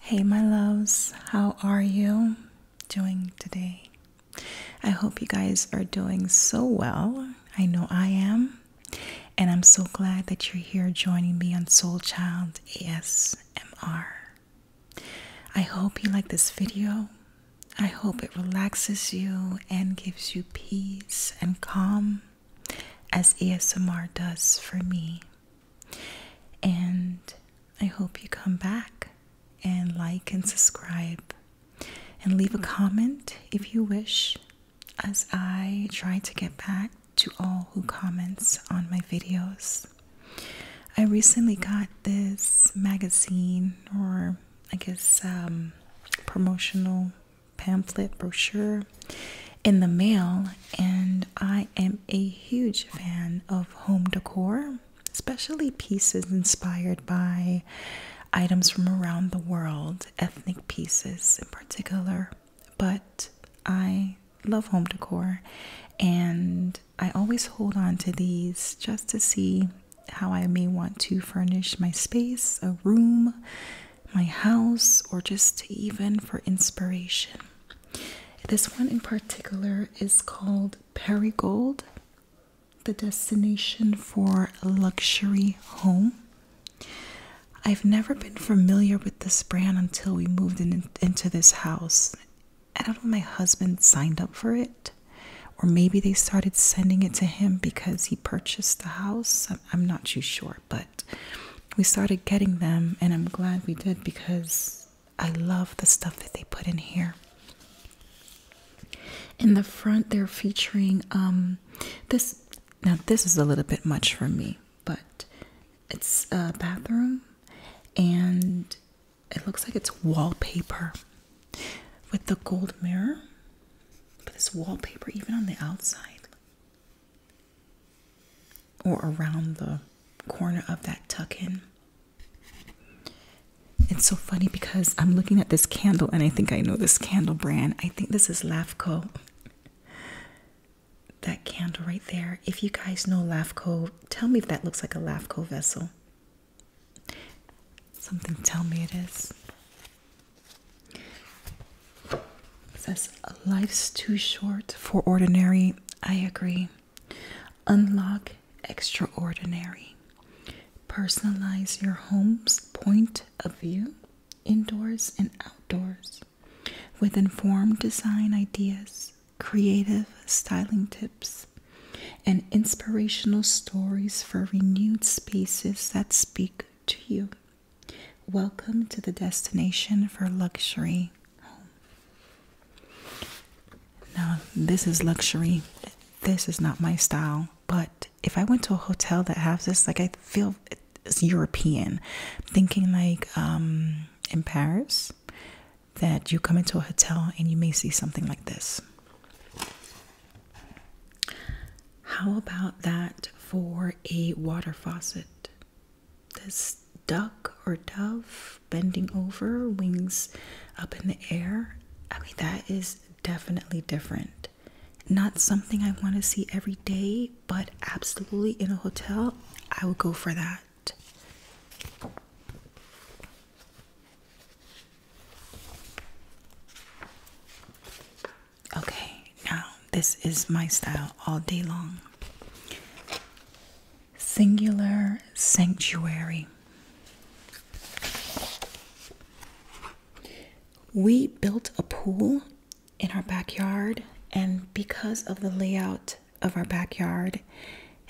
Hey, my loves, how are you doing today? I hope you guys are doing so well. I know I am, and I'm so glad that you're here joining me on Soul Child ASMR. I hope you like this video. I hope it relaxes you and gives you peace and calm as ASMR does for me. And I hope you come back and like and subscribe and leave a comment if you wish as I try to get back to all who comments on my videos. I recently got this magazine or I guess, um, promotional pamphlet brochure in the mail, and I am a huge fan of home decor, especially pieces inspired by items from around the world, ethnic pieces in particular. But I love home decor, and I always hold on to these just to see how I may want to furnish my space, a room, my house, or just even for inspiration. This one in particular is called Perigold, the destination for luxury home. I've never been familiar with this brand until we moved into this house. I don't know, my husband signed up for it. Or maybe they started sending it to him because he purchased the house. I'm not too sure, but we started getting them, and I'm glad we did because I love the stuff that they put in here. In the front, they're featuring um, this. Now, this is a little bit much for me, but it's a bathroom and it looks like it's wallpaper with the gold mirror, but this wallpaper even on the outside or around the corner of that tuck in. It's so funny because I'm looking at this candle and I think I know this candle brand. I think this is Lafco. That candle right there. If you guys know Lafco, tell me if that looks like a Lafco vessel. Something tell me it is says, Life's too short for ordinary. I agree. Unlock extraordinary. Personalize your home's point of view, indoors and outdoors, with informed design ideas, creative styling tips, and inspirational stories for renewed spaces that speak to you. Welcome to the destination for luxury home. Now, this is luxury. This is not my style, but if I went to a hotel that has this, like I feel it's European. Thinking like um, in Paris, that you come into a hotel and you may see something like this. How about that for a water faucet? This duck or dove bending over, wings up in the air. I mean, that is definitely different. Not something I want to see every day, but absolutely in a hotel, I would go for that. Okay, now this is my style all day long. Singular Sanctuary. We built a pool in our backyard, and because of the layout of our backyard,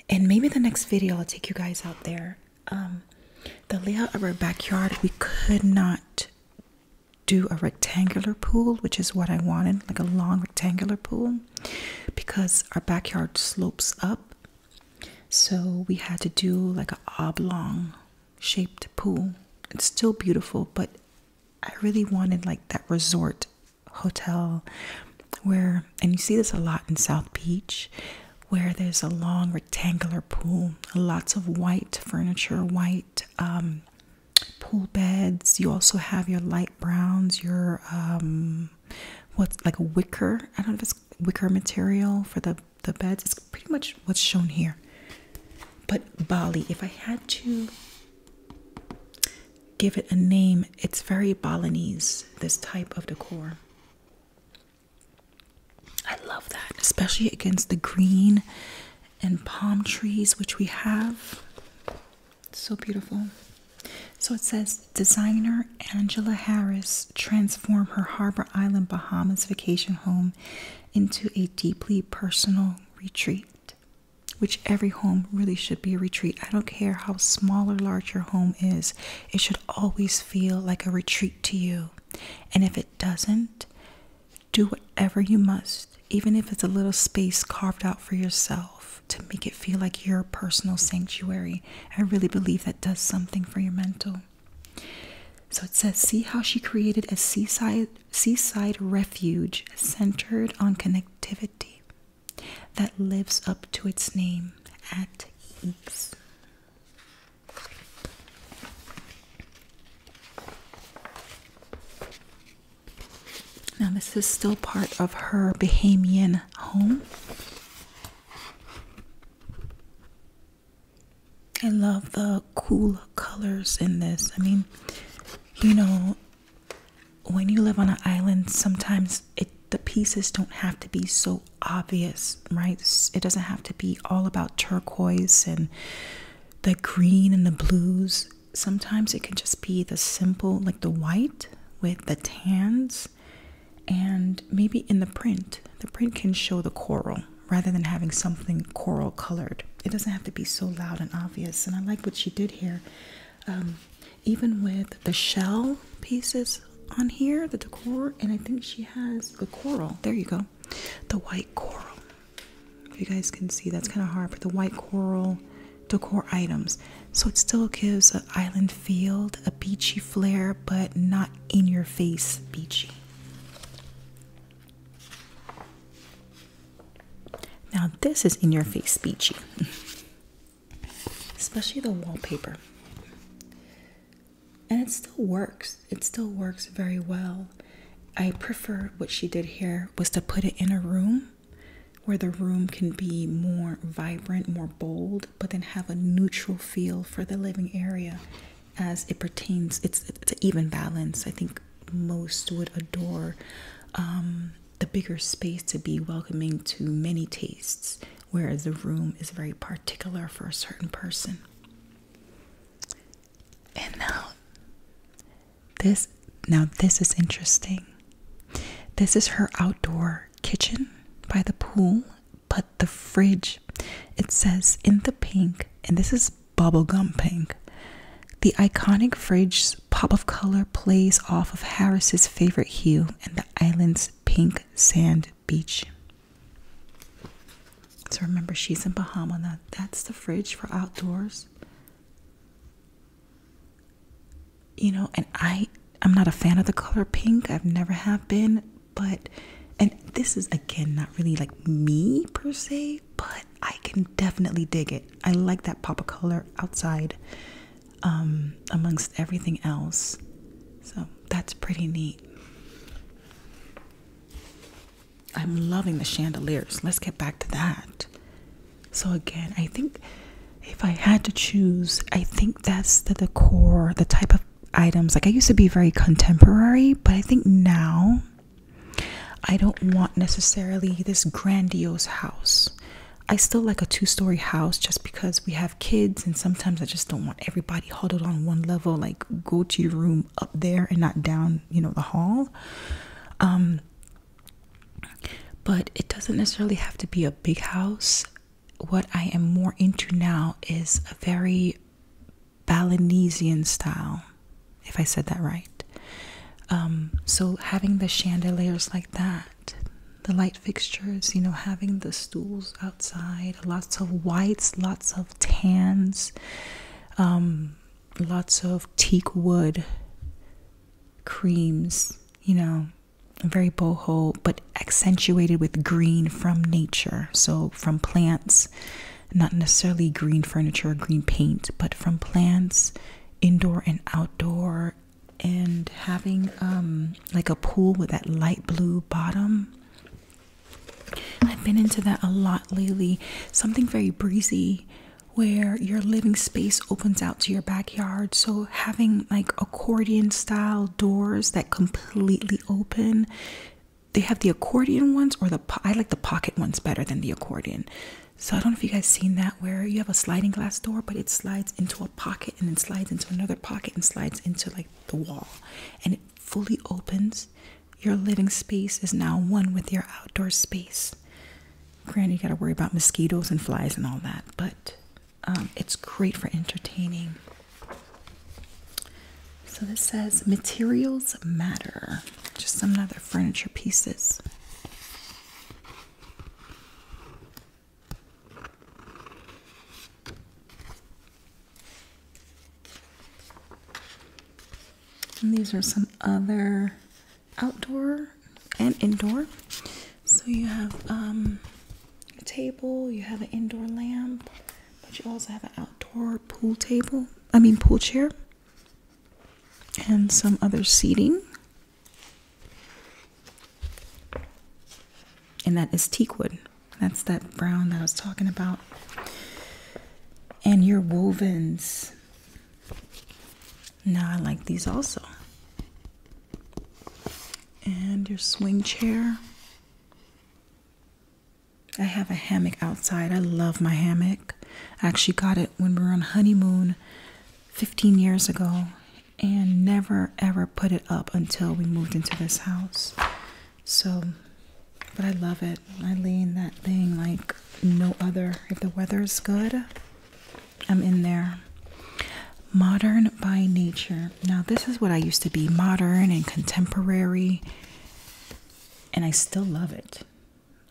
and maybe the next video I'll take you guys out there. Um, the layout of our backyard, we could not do a rectangular pool, which is what I wanted, like a long rectangular pool, because our backyard slopes up. So we had to do like an oblong shaped pool. It's still beautiful, but I really wanted like that resort hotel where, and you see this a lot in South Beach, where there's a long rectangular pool, lots of white furniture, white um, pool beds. You also have your light browns, your um, what's like a wicker. I don't know if it's wicker material for the the beds. It's pretty much what's shown here. But Bali, if I had to give it a name, it's very Balinese. This type of decor. I love that, especially against the green and palm trees, which we have. so beautiful. So it says designer Angela Harris transformed her Harbor Island, Bahamas vacation home into a deeply personal retreat. Which every home really should be a retreat. I don't care how small or large your home is, it should always feel like a retreat to you. And if it doesn't, do whatever you must, even if it's a little space carved out for yourself to make it feel like your personal sanctuary. I really believe that does something for your mental. So it says, see how she created a seaside seaside refuge centered on connectivity that lives up to its name at ease. Now, this is still part of her Bahamian home. I love the cool colors in this. I mean, you know, when you live on an island, sometimes the pieces don't have to be so obvious, right? It doesn't have to be all about turquoise and the green and the blues. Sometimes it can just be the simple, like the white with the tans, and maybe in the print, the print can show the coral rather than having something coral colored. It doesn't have to be so loud and obvious. And I like what she did here. Um, even with the shell pieces on here, the decor, and I think she has the coral. There you go the white coral. If you guys can see, that's kind of hard, but the white coral decor items. So it still gives an island feel, a beachy flair, but not in your face beachy. Now, this is in your face beachy, especially the wallpaper and it still works it still works very well i prefer what she did here was to put it in a room where the room can be more vibrant more bold but then have a neutral feel for the living area as it pertains it's it's even balance i think most would adore um, the bigger space to be welcoming to many tastes whereas the room is very particular for a certain person and now this now this is interesting. This is her outdoor kitchen by the pool, but the fridge it says in the pink and this is bubblegum pink. The iconic fridge pop of color plays off of Harris's favorite hue and the island's pink sand Beach. So remember, she's in Bahama. Now, that's the fridge for outdoors. You know, and I, I'm not a fan of the color pink. I've never have been, but, and this is again not really like me per se, but I can definitely dig it. I like that pop of color outside, um, amongst everything else. So that's pretty neat. I'm loving the chandeliers. Let's get back to that. So again, I think if I had to choose, I think that's the decor, the type of items. Like I used to be very contemporary, but I think now I don't want necessarily this grandiose house. I still like a two story house just because we have kids, and sometimes I just don't want everybody huddled on one level like go to your room up there and not down you know the hall um, but it doesn't necessarily have to be a big house what i am more into now is a very balinesian style if i said that right um, so having the chandeliers like that the light fixtures you know having the stools outside Lots of whites, lots of tans, um, lots of teak wood creams, you know, very boho, but accentuated with green from nature. So from plants, not necessarily green furniture or green paint, but from plants, indoor and outdoor, and having um, like a pool with that light blue bottom I've been into that a lot lately. Something very breezy where your living space opens out to your backyard. So having like accordion style doors that completely open. They have the accordion ones or the I like the pocket ones better than the accordion. So I don't know if you guys seen that where you have a sliding glass door but it slides into a pocket and then slides into another pocket and slides into like the wall fully opens, your living space is now one with your outdoor space. Granted, you got to worry about mosquitoes and flies and all that, but um, it's great for entertaining. So this says materials matter. Just some other furniture pieces. And these are some other outdoor and indoor. So you have um, a table, you have an indoor lamp, but you also have an outdoor pool table, I mean, pool chair, and some other seating. And that is teakwood. That's that brown that I was talking about. And your wovens. Now I like these also. And your swing chair. I have a hammock outside. I love my hammock. I actually got it when we were on honeymoon 15 years ago and never ever put it up until we moved into this house. So, but I love it. I lean that thing like no other. If the weather is good, I'm in there. Modern by nature. Now, this is what I used to be modern and contemporary, and I still love it.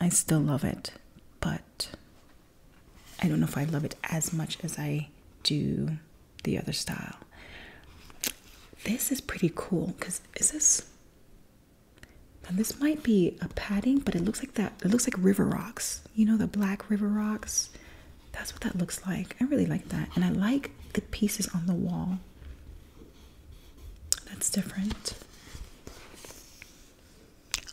I still love it, but I don't know if I love it as much as I do the other style. This is pretty cool because is this this might be a padding, but it looks like that it looks like river rocks. You know the black river rocks? That's what that looks like. I really like that. And I like the pieces on the wall. That's different.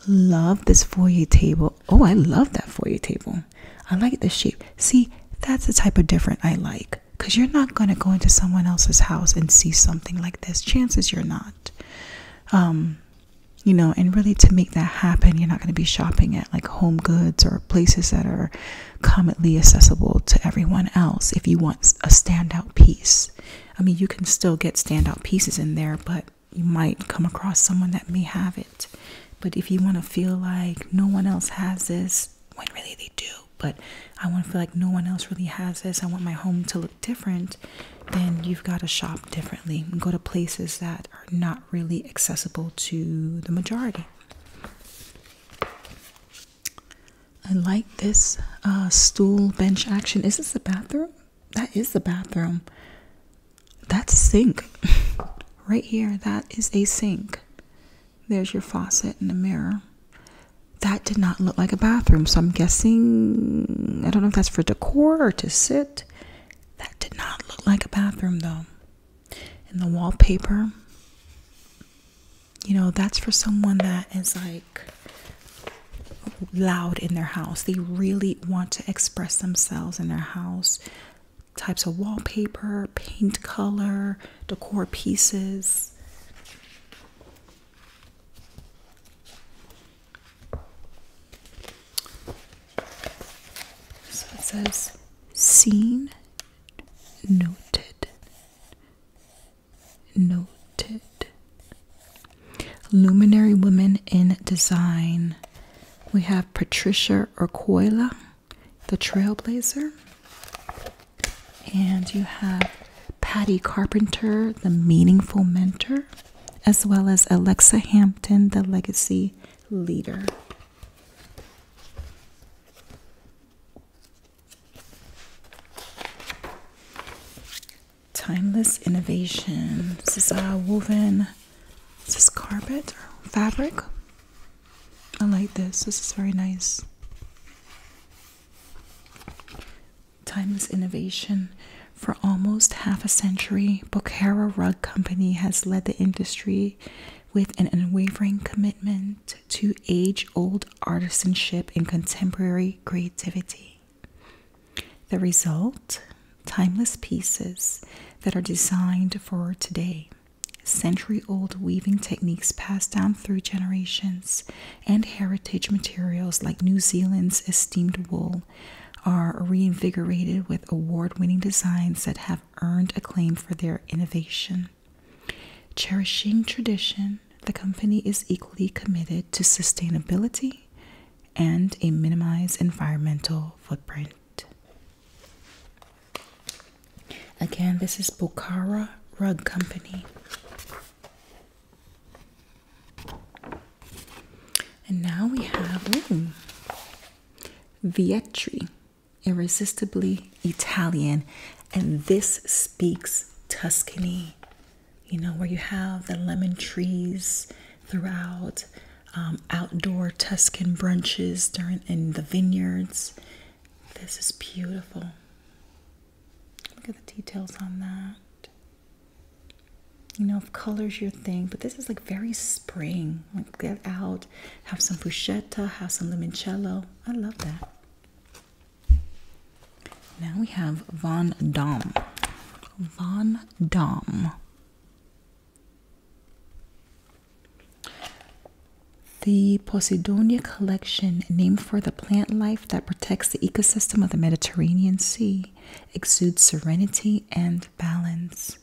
Love this foyer table. Oh, I love that foyer table. I like the shape. See, that's the type of different I like. Because you're not going to go into someone else's house and see something like this. Chances you're not. Um, you know, and really to make that happen, you're not going to be shopping at like home goods or places that are commonly accessible to everyone else if you want a standout piece. I mean, you can still get standout pieces in there, but you might come across someone that may have it. But if you want to feel like no one else has this, when really they do but i want to feel like no one else really has this i want my home to look different then you've got to shop differently and go to places that are not really accessible to the majority i like this uh, stool bench action is this the bathroom that is the bathroom that's sink right here that is a sink there's your faucet and a mirror. That did not look like a bathroom, so I'm guessing I don't know if that's for decor or to sit. That did not look like a bathroom though. And the wallpaper, you know, that's for someone that is like loud in their house. They really want to express themselves in their house. Types of wallpaper, paint color, decor pieces. So it says seen, noted, noted. Luminary women in design. We have Patricia Urquilla the Trailblazer. And you have Patty Carpenter, the Meaningful Mentor, as well as Alexa Hampton, the Legacy Leader. Timeless Innovation. This is a uh, woven, this is carpet or fabric? I like this. This is very nice. Timeless innovation. For almost half a century, Bokhara Rug Company has led the industry with an unwavering commitment to age old artisanship and contemporary creativity. The result? Timeless pieces that are designed for today. Century old weaving techniques passed down through generations and heritage materials like New Zealand's esteemed wool are reinvigorated with award winning designs that have earned acclaim for their innovation. Cherishing tradition, the company is equally committed to sustainability and a minimized environmental footprint. Again, this is Bukhara Rug Company. And now we have Vietri, irresistibly Italian, and this speaks Tuscany. You know, where you have the lemon trees throughout, um, outdoor Tuscan brunches during in the vineyards, this is beautiful. Look at the details on that. You know, if color's your thing, but this is like very spring. Like get out, have some bruschetta, have some limoncello. I love that. Now we have Van Dam. Van Dam. The Posidonia collection, named for the plant life that protects the ecosystem of the Mediterranean Sea, exudes serenity and balance.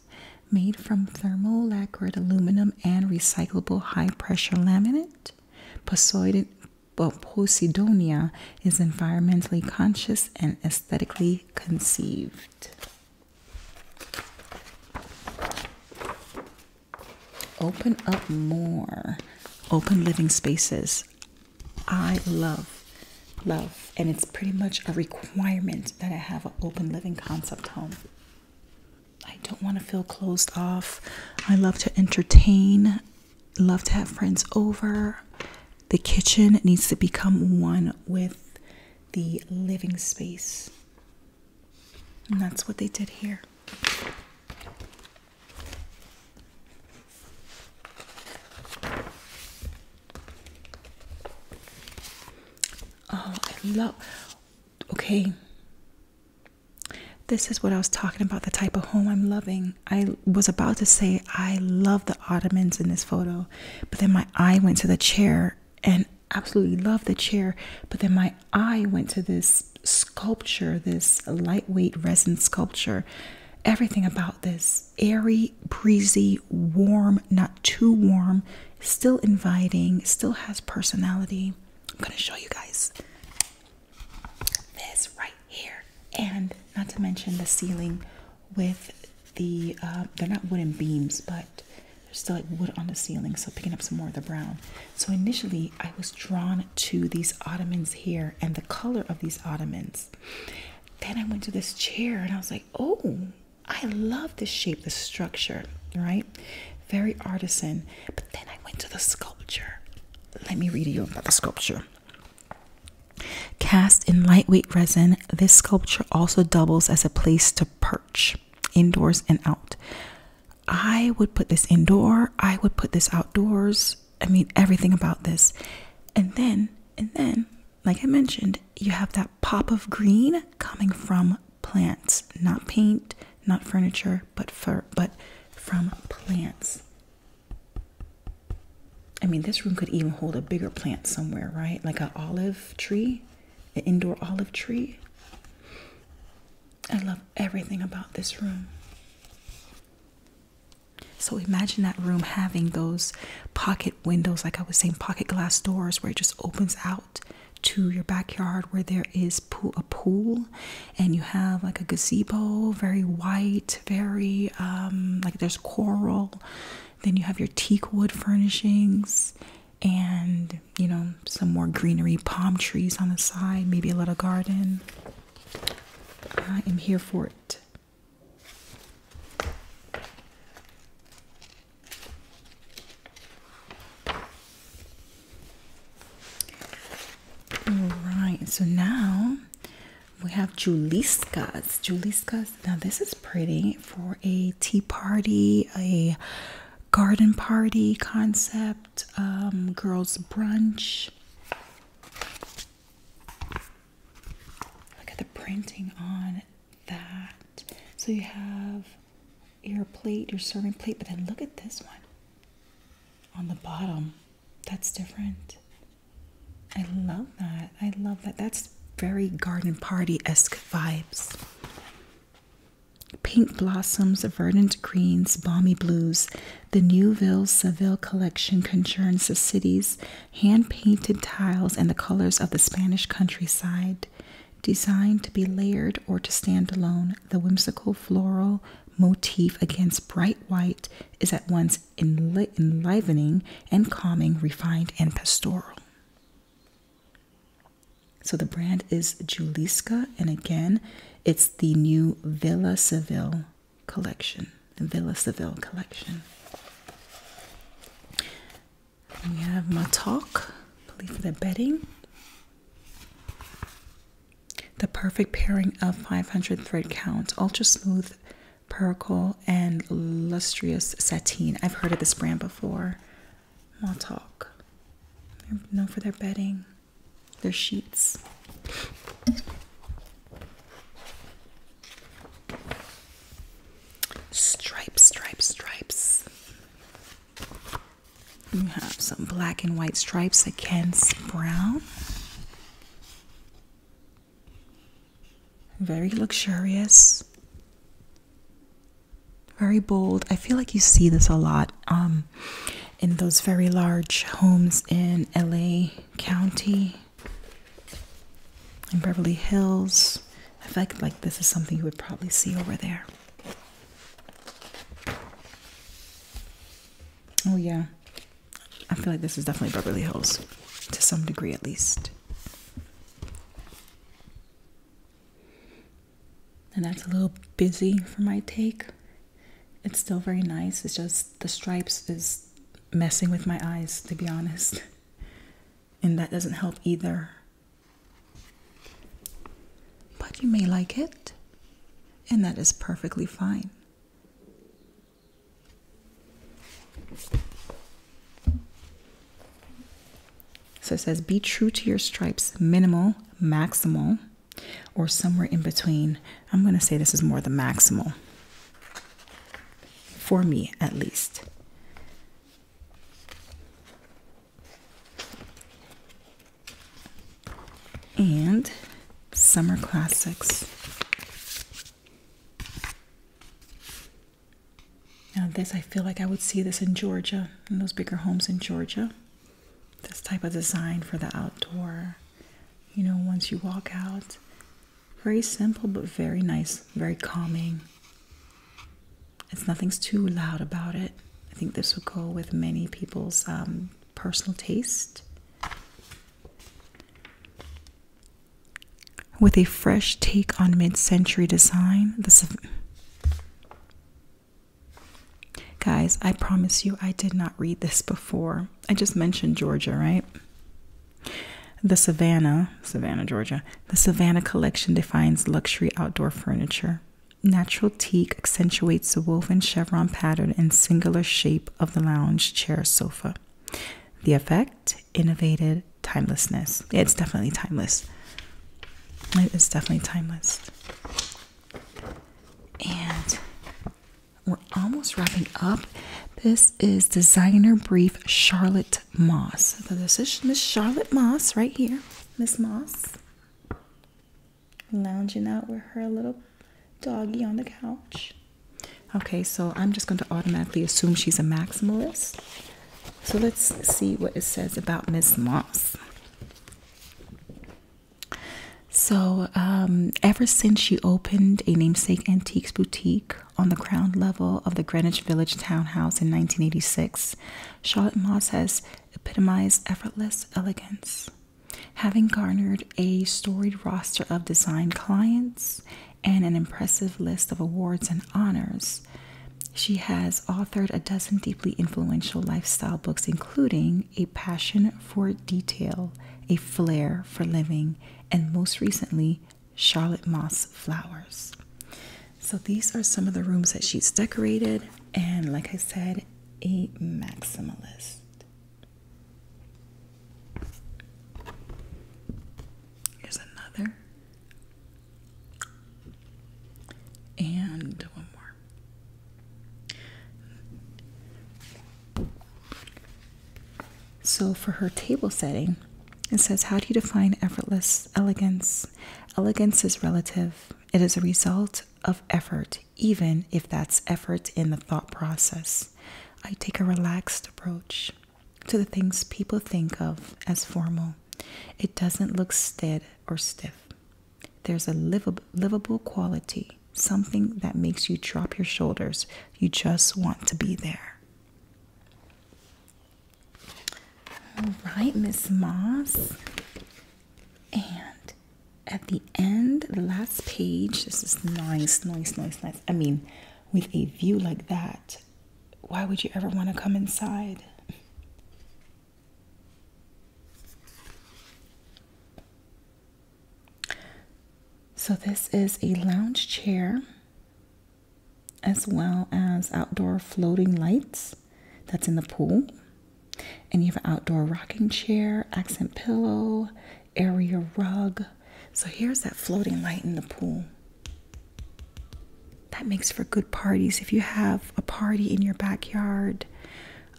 Made from thermal lacquered aluminum and recyclable high pressure laminate, Posidonia is environmentally conscious and aesthetically conceived. Open up more. Open living spaces. I love, love, and it's pretty much a requirement that I have an open living concept home. I don't want to feel closed off. I love to entertain, love to have friends over. The kitchen needs to become one with the living space. And that's what they did here. Oh, I love. Okay. This is what I was talking about the type of home I'm loving. I was about to say, I love the Ottomans in this photo, but then my eye went to the chair and absolutely love the chair, but then my eye went to this sculpture, this lightweight resin sculpture. Everything about this airy, breezy, warm, not too warm, still inviting, still has personality. I'm going to show you guys this right here, and not to mention the ceiling with the uh, they're not wooden beams, but there's still like wood on the ceiling, so picking up some more of the brown. So initially, I was drawn to these ottomans here and the color of these ottomans. Then I went to this chair and I was like, oh, I love this shape, this structure, right? Very artisan. But then I went to the sculpture. Let me read you about the sculpture. Cast in lightweight resin, this sculpture also doubles as a place to perch indoors and out. I would put this indoor, I would put this outdoors. I mean, everything about this. And then, and then, like I mentioned, you have that pop of green coming from plants, not paint, not furniture, but fur, but from plants. I mean, this room could even hold a bigger plant somewhere, right? Like an olive tree, an indoor olive tree. I love everything about this room. So imagine that room having those pocket windows, like I was saying, pocket glass doors where it just opens out to your backyard where there is a pool and you have like a gazebo, very white, very um, like there's coral. Then you have your teak wood furnishings and you know, some more greenery, palm trees on the side, maybe a little garden. I am here for it. All right, so now we have Juliskas. Juliskas, now this is pretty for a tea party, a garden party concept, um, girls' brunch. Look at the printing on that. So you have your plate, your serving plate, but then look at this one on the bottom. That's different. I love that. I love that. That's very garden party esque vibes. Pink blossoms, verdant greens, balmy blues. The Newville Seville collection conjures the city's hand painted tiles and the colors of the Spanish countryside. Designed to be layered or to stand alone, the whimsical floral motif against bright white is at once enlivening and calming, refined, and pastoral. So the brand is Juliska, and again, it's the new Villa Seville collection. The Villa Seville collection. we have Matok, I believe for the bedding. The perfect pairing of 500 thread count, ultra smooth percale and lustrous sateen. I've heard of this brand before i talk. They're known for their bedding, their sheets. Stripes, stripes, stripes. You have some black and white stripes against brown. Very luxurious. Very bold. I feel like you see this a lot um, in those very large homes in LA County, in Beverly Hills. I feel like this is something you would probably see over there. Oh, yeah. I feel like this is definitely Beverly Hills, to some degree at least and that's a little busy for my take. It's still very nice. It's just the stripes is messing with my eyes, to be honest. And that doesn't help either. But you may like it, and that is perfectly fine. So it says be true to your stripes, minimal, maximal or somewhere in between. I'm going to say this is more the maximal, for me at least. And summer classics. Now, this I feel like I would see this in Georgia, in those bigger homes in Georgia this type of design for the outdoor. You know, once you walk out, very simple but very nice, very calming. It's nothing's too loud about it. I think this will go with many people's um, personal taste. With a fresh take on mid century design, this Guys, I promise you, I did not read this before. I just mentioned Georgia, right? The Savannah, Savannah, Georgia, the Savannah collection defines luxury outdoor furniture. Natural teak accentuates the woven chevron pattern and singular shape of the lounge chair sofa. The effect, innovated timelessness. it's definitely timeless. It's definitely timeless. And we're almost wrapping up. This is Designer Brief Charlotte Moss. So this is Miss Charlotte Moss right here. Miss Moss. Lounging out with her little doggy on the couch. Okay, so I'm just going to automatically assume she's a maximalist. So let's see what it says about Miss Moss. So, um, ever since she opened a namesake antiques boutique on the ground level of the Greenwich Village townhouse in 1986, Charlotte Moss has epitomized effortless elegance, having garnered a storied roster of design clients and an impressive list of awards and honors. She has authored a dozen deeply influential lifestyle books, including A Passion for Detail, A Flair for Living, and most recently, Charlotte Moss Flowers. So these are some of the rooms that she's decorated, and like I said, a maximalist. Here's another. And one more. So, for her table setting, it says, How do you define effortless elegance? Elegance is relative, it is a result of effort, even if that's effort in the thought process. I take a relaxed approach to the things people think of as formal. It doesn't look staid or stiff. There's a livable, livable quality, something that makes you drop your shoulders. You just want to be there. All right, Miss Moss. And at the end, the last page, this is nice, nice, nice, nice. I mean, with a view like that, why would you ever want to come inside? So, this is a lounge chair as well as outdoor floating lights that's in the pool. And you have an outdoor rocking chair, accent pillow, area rug. So, here's that floating light in the pool. That makes for good parties. If you have a party in your backyard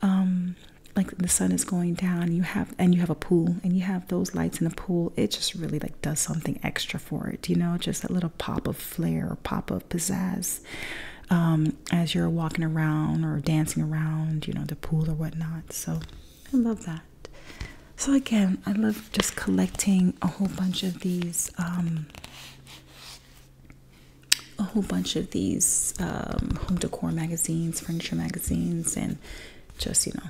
um like the sun is going down you have and you have a pool and you have those lights in the pool it just really like does something extra for it you know just that little pop of flare, pop of pizzazz um as you're walking around or dancing around you know the pool or whatnot so i love that so again i love just collecting a whole bunch of these um, a whole bunch of these um, home decor magazines, furniture magazines, and just, you know,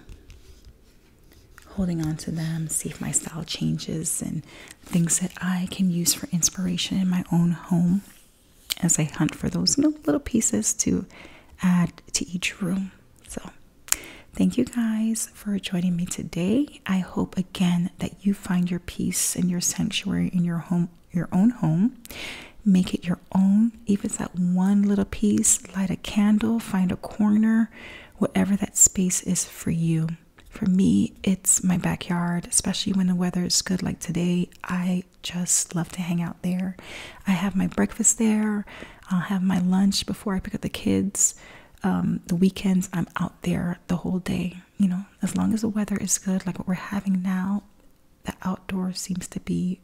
holding on to them, see if my style changes and things that I can use for inspiration in my own home as I hunt for those little pieces to add to each room. So, thank you guys for joining me today. I hope again that you find your peace and your sanctuary in your home your own home. Make it your own, even if that one little piece. Light a candle, find a corner, whatever that space is for you. For me, it's my backyard, especially when the weather is good like today. I just love to hang out there. I have my breakfast there. I'll have my lunch before I pick up the kids. Um, the weekends, I'm out there the whole day you know, as long as the weather is good, like what we're having now, the outdoors seems to be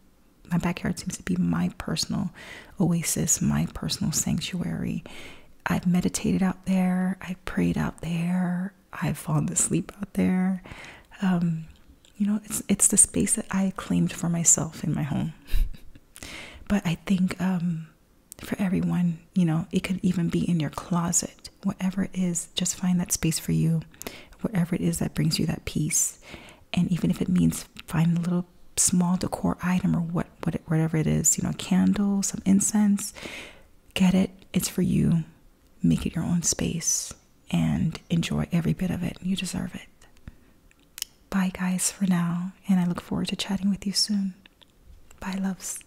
my backyard seems to be my personal oasis, my personal sanctuary. I've meditated out there, I've prayed out there, I've fallen asleep out there. Um, you know, it's it's the space that I claimed for myself in my home. but I think um, for everyone, you know, it could even be in your closet. Whatever it is, just find that space for you. Whatever it is that brings you that peace, and even if it means find a little small decor item or what, whatever it is, you know, a candle, some incense, get it. It's for you. Make it your own space and enjoy every bit of it. You deserve it. Bye, guys, for now, and I look forward to chatting with you soon. Bye, loves.